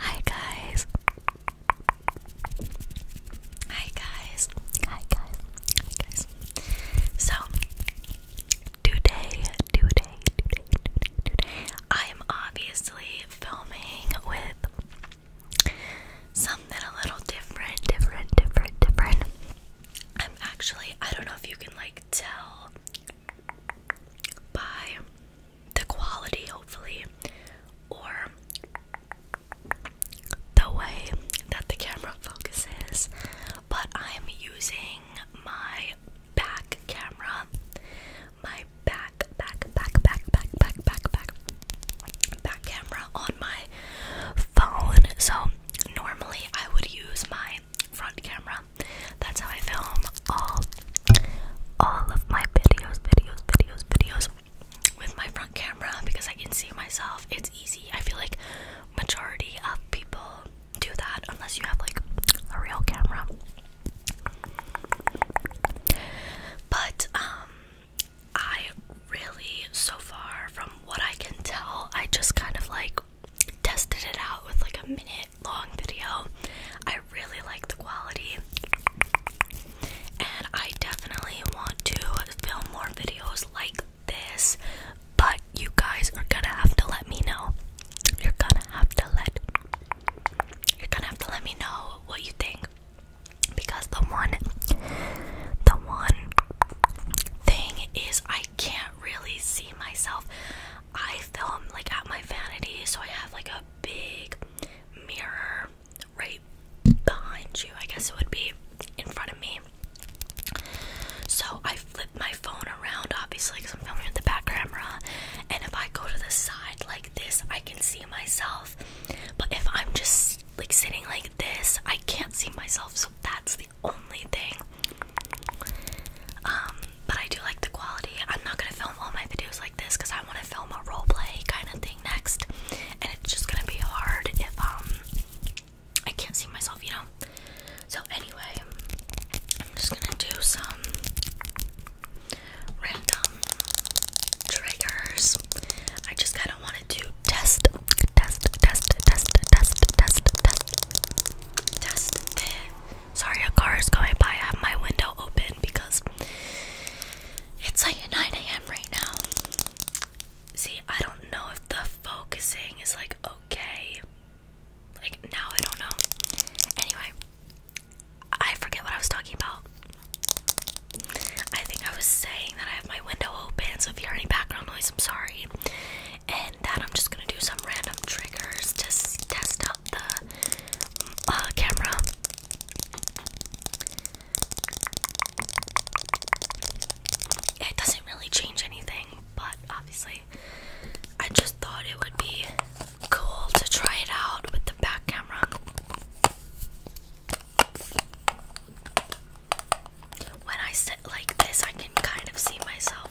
Hi guys. Hi guys. Hi guys. Hi guys. So today, today, today, today, I am obviously filming with something a little different, different, different, different. I'm actually I don't know if you can like tell by the quality, hopefully, or the way that the camera focuses. But I'm using my back camera, my back, back, back, back, back, back, back, back, back camera on my phone. So normally I would use my front camera. That's how I film all all of my videos, videos, videos, videos with my front camera because I can see myself. It's easy. I feel like majority of people do that unless you have like a real camera. But um I really so far from what I can tell, I just kind of like tested it out with like a minute long video. I really like the quality. And I definitely want to film more videos like this, but you guys are gonna have to let me know. You're gonna have to let You're gonna have to let me know what you think because the one the one thing is I can't really see myself. I film like at my vanity, so I have like a big mirror right behind you. I guess it would be in front of me. So I flip my phone around, obviously, because I'm filming with the back camera. And if I go to the side like this, I can see myself. But if I'm just like sitting like this, I can't see myself. So that's the only thing. but I do like the quality. I'm not gonna film all my videos like this because I want to film a role play kind of thing next, and it's just gonna be hard if um I can't see myself, you know. So anyway, I'm just gonna do some random triggers. I just kind of wanted to test, test, test, test, test, test, test, test the Sorry, a car is going by. I have my window open because it's like 9 a.m. right now. See, I don't know if the focusing is like okay. Like now, I don't know. Anyway, I forget what I was talking about. I think I was saying that I have my window open, so if you hear any background noise, I'm sorry and that I'm just gonna do some random triggers to test out the uh, camera. It doesn't really change anything, but obviously, I just thought it would be cool to try it out with the back camera. When I sit like this, I can kind of see myself.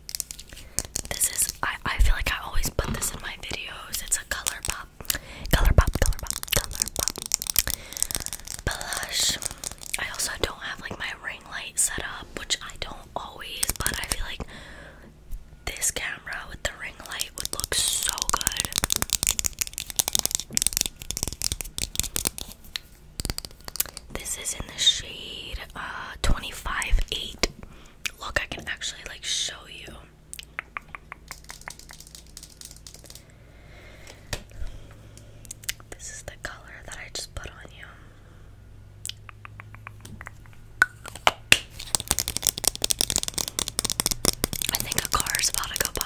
This is I I feel like I always put this in my videos. It's a color pop. Color pop, color pop, color pop. Blush. I also don't have like my ring light set up, which I don't always, but I feel like this camera with the ring light would look so good. This is in the shade uh 25-8. Look, I can actually like show you. This is the color that I just put on you. I think a car is about to go by.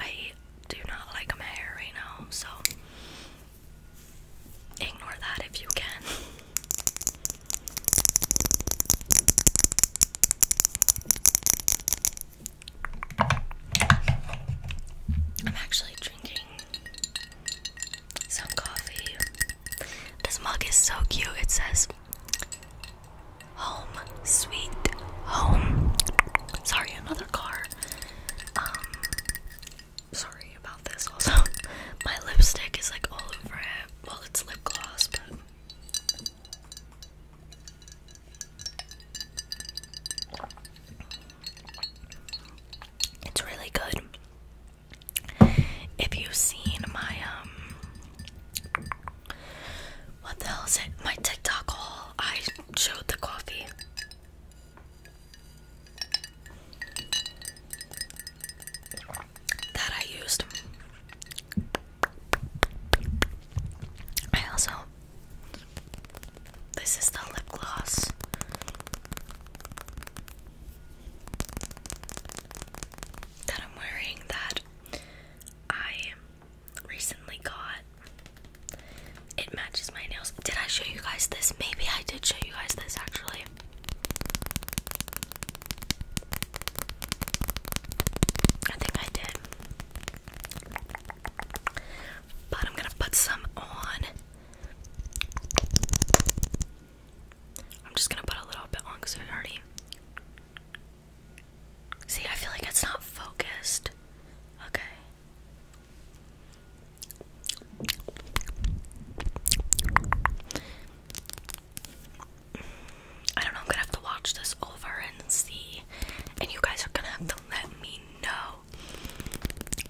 I do not like my so ignore that if you can. I'm actually drinking some coffee this mug is so cute. It says home, sweet home. Sorry, another car. Um, sorry about this also. My lipstick is like all over it. Well it's lip gloss, but it's really good. If you've seen my um what the hell is it? My TikTok haul. I showed the coffee. That I used. I also. This is the lip gloss that I'm wearing that I recently got. It matches my nails. Did I show you guys this? Maybe I did show you guys this actually. I think I did. But I'm gonna put some on. I'm just gonna put a little bit on because it already. See, I feel like it's not focused. Okay. I don't know, I'm gonna have to watch this over and see. And you guys are gonna have to let me know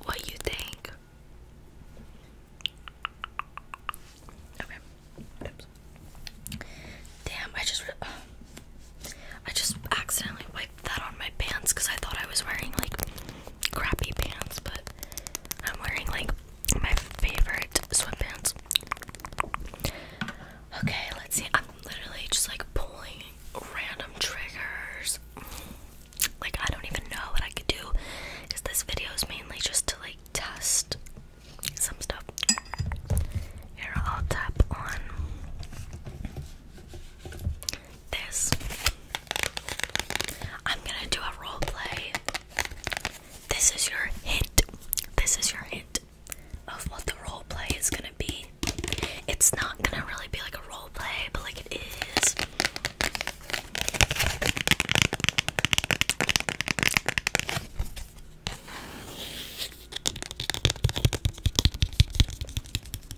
what you think. Okay. Damn, I just uh, I just accidentally wiped that on my pants because I thought I was wearing like crappy pants, but I'm wearing like my favorite sweatpants. Okay, let's see. I'm literally just like pulling random triggers like I don't even know what I could do because this video is mainly just to like test some stuff. Here I'll tap on this. I'm gonna do a role play. This is your hint. This is your hint of what the role play is gonna be. It's not gonna really be like a role play, but like it is.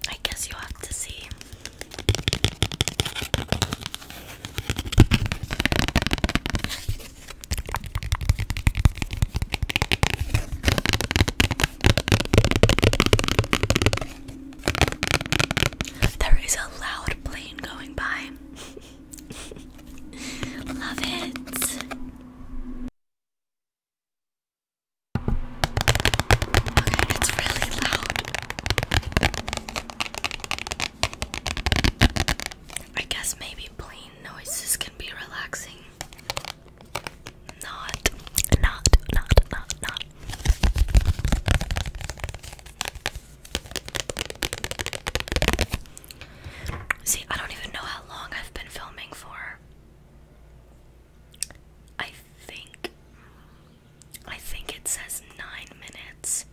I guess you have to see. There is a loud plane going by. Love it. Okay, it's really loud. I guess maybe plane noises can be relaxing. Not, not, not, not, not, See, I don't even know how long I've been filming for. I think I think it says 9 minutes.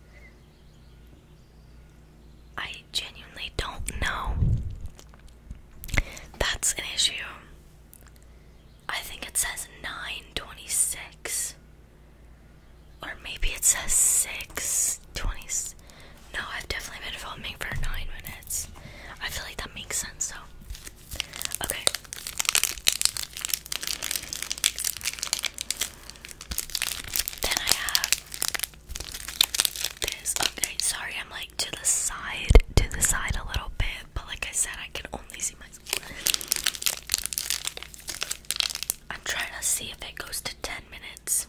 I genuinely don't know. That's an issue. I think it says 926. Or maybe it says 6 20s. No, I've definitely been filming for 9 minutes. I feel like that makes sense So Okay. Then I have this. Okay, sorry, I'm like to the side, to the side a little bit, but like I said, I can only see my I'm trying to see if it goes to 10 minutes.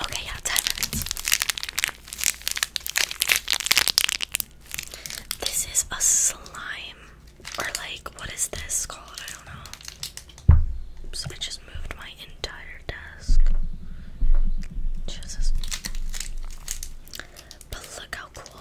Okay, yeah, 10 minutes. This is a slime. Or like what is this called? I don't know. So I just moved my entire desk. Jesus. But look how cool.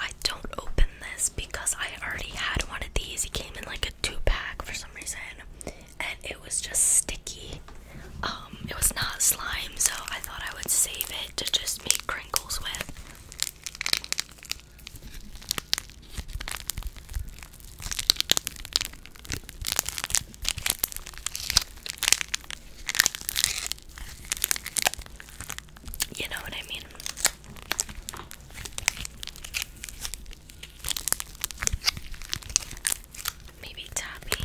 I don't open this because I already had one of these. It came in like a two pack for some reason, and it was just sticky. Um, it was not slime, so I thought I would save it to just make crafts sprinkles with. You know what I mean? Maybe tapping.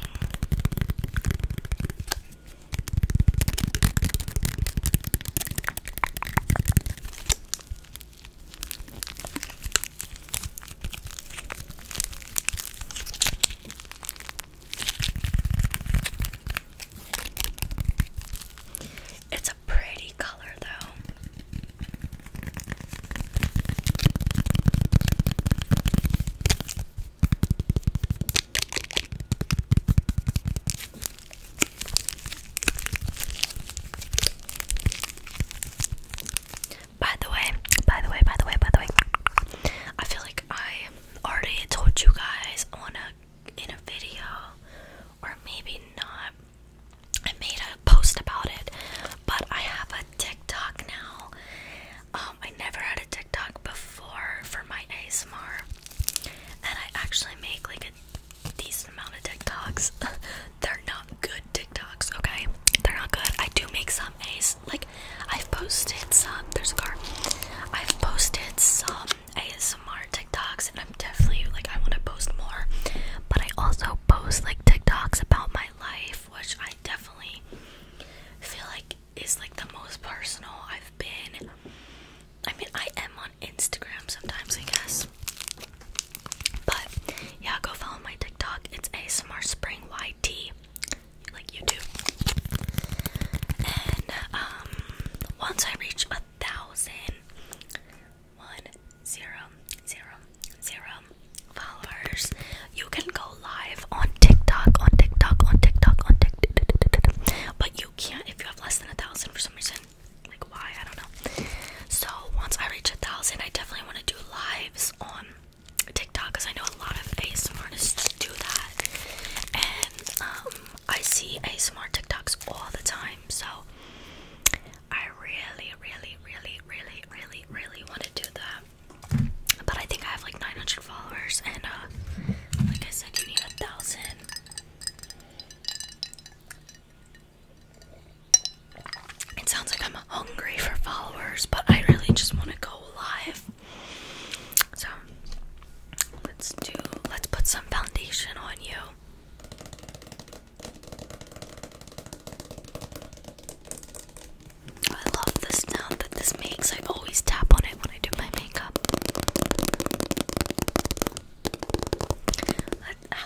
It's a pretty color, though. By the way, by the way, by the way, by the way, I feel like I already told you guys on a in a video, or maybe not. I made a post about it, but I have a TikTok now. Um, um, I never had a TikTok before for my ASMR, and I actually make like a decent amount of TikToks. They're not good TikToks, okay? They're not good. I do make some AS, like I've posted some. There's a car. I've posted some ASMR TikToks, and I'm definitely like I want to post more. But I also post like TikToks about my life, which I definitely feel like is like the most personal I've been. I mean, I am on Instagram sometimes, I guess. But yeah, go follow my TikTok. It's ASMR Spring YT, like YouTube. And um, once I reach a thousand, one zero zero zero followers, you can go live live on TikTok, on TikTok, on TikTok, on TikTok. But you can't if you have less than a thousand for some reason. Like why? I don't know. So once I reach a thousand, I definitely want to do lives on TikTok because I know a lot of ASMR artists do that, and um, I see ASMR TikToks all the time. So I really, really, really, really, really, really want to do that. But I think I have like 900 followers, and uh, like I it sounds like I'm hungry for followers, but I really just want to go live. So let's do, let's put some foundation on you. I love the sound that this makes. I always tap on it when I do my makeup. How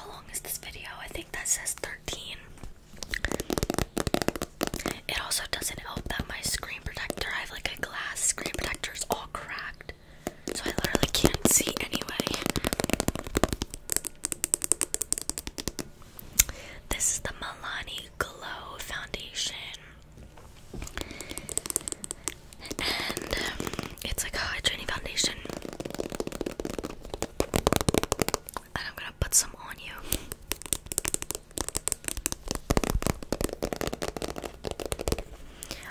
long is this video? I think that says 13. It also doesn't help that my screen protector, I have like a glass screen protector, is all cracked. So I literally can't see anyway. This is the Milani Glow Foundation and um, it's like a hydrating foundation. And I'm gonna put some on you.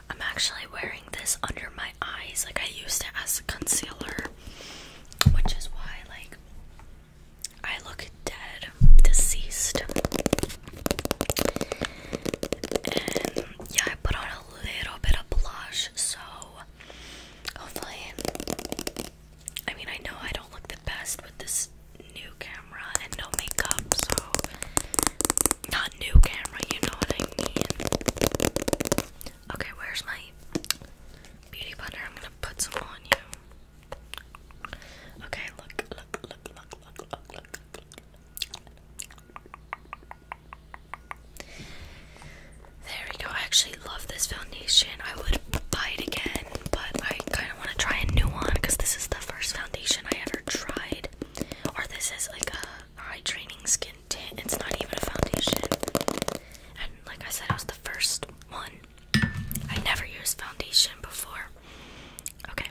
I'm actually wearing this under my eyes, like I used it as a concealer, which is why like I look dead, deceased. yeah, I put on a little bit of blush, so hopefully, I mean, I know I don't look the best with this new camera and no makeup, so not new camera, you know what I mean. Okay, where's my beauty blender? I'm gonna put some on you. Okay, look, look, look, look, look, look, look. There we go. I actually love this foundation. I would buy it again, but I kind of want to try a new one because this is the first foundation I ever tried. Or this is like a hydrating skin tint. It's not even a foundation. And like I said, it was the first one. I never used foundation before. Okay.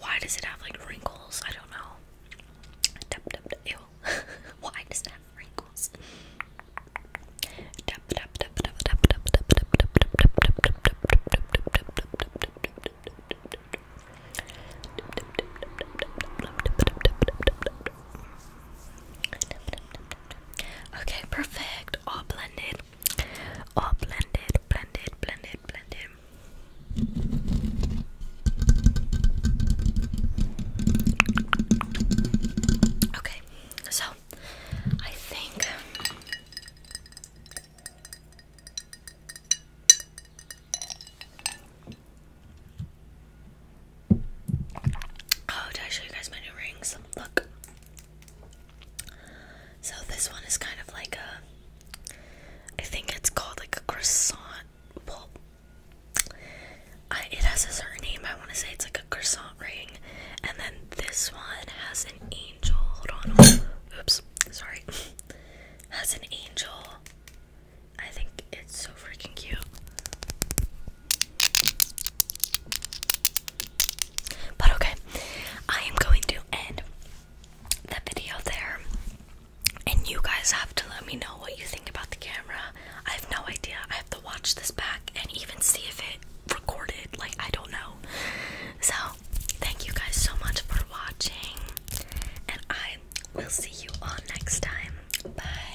Why does it have like wrinkles? I don't know. Why does it have wrinkles? Okay, perfect. All blended. All blended, blended, blended, blended. Okay, so I think Oh, did I show you guys my new rings? Look. So this one is kind of like a I think it's called like a croissant. Well, it has a certain name. I want to say it's like a croissant ring. And then this one has an angel. Hold on. Hold on. Oops. Sorry. has an angel. I think it's so freaking cute. But okay, I am going to end the video there. And you guys have to let me know what you think about the camera. I have no idea. I have to watch this back and even see if it recorded. Like, I don't know. So, thank you guys so much for watching. And I will see you all next time. Bye.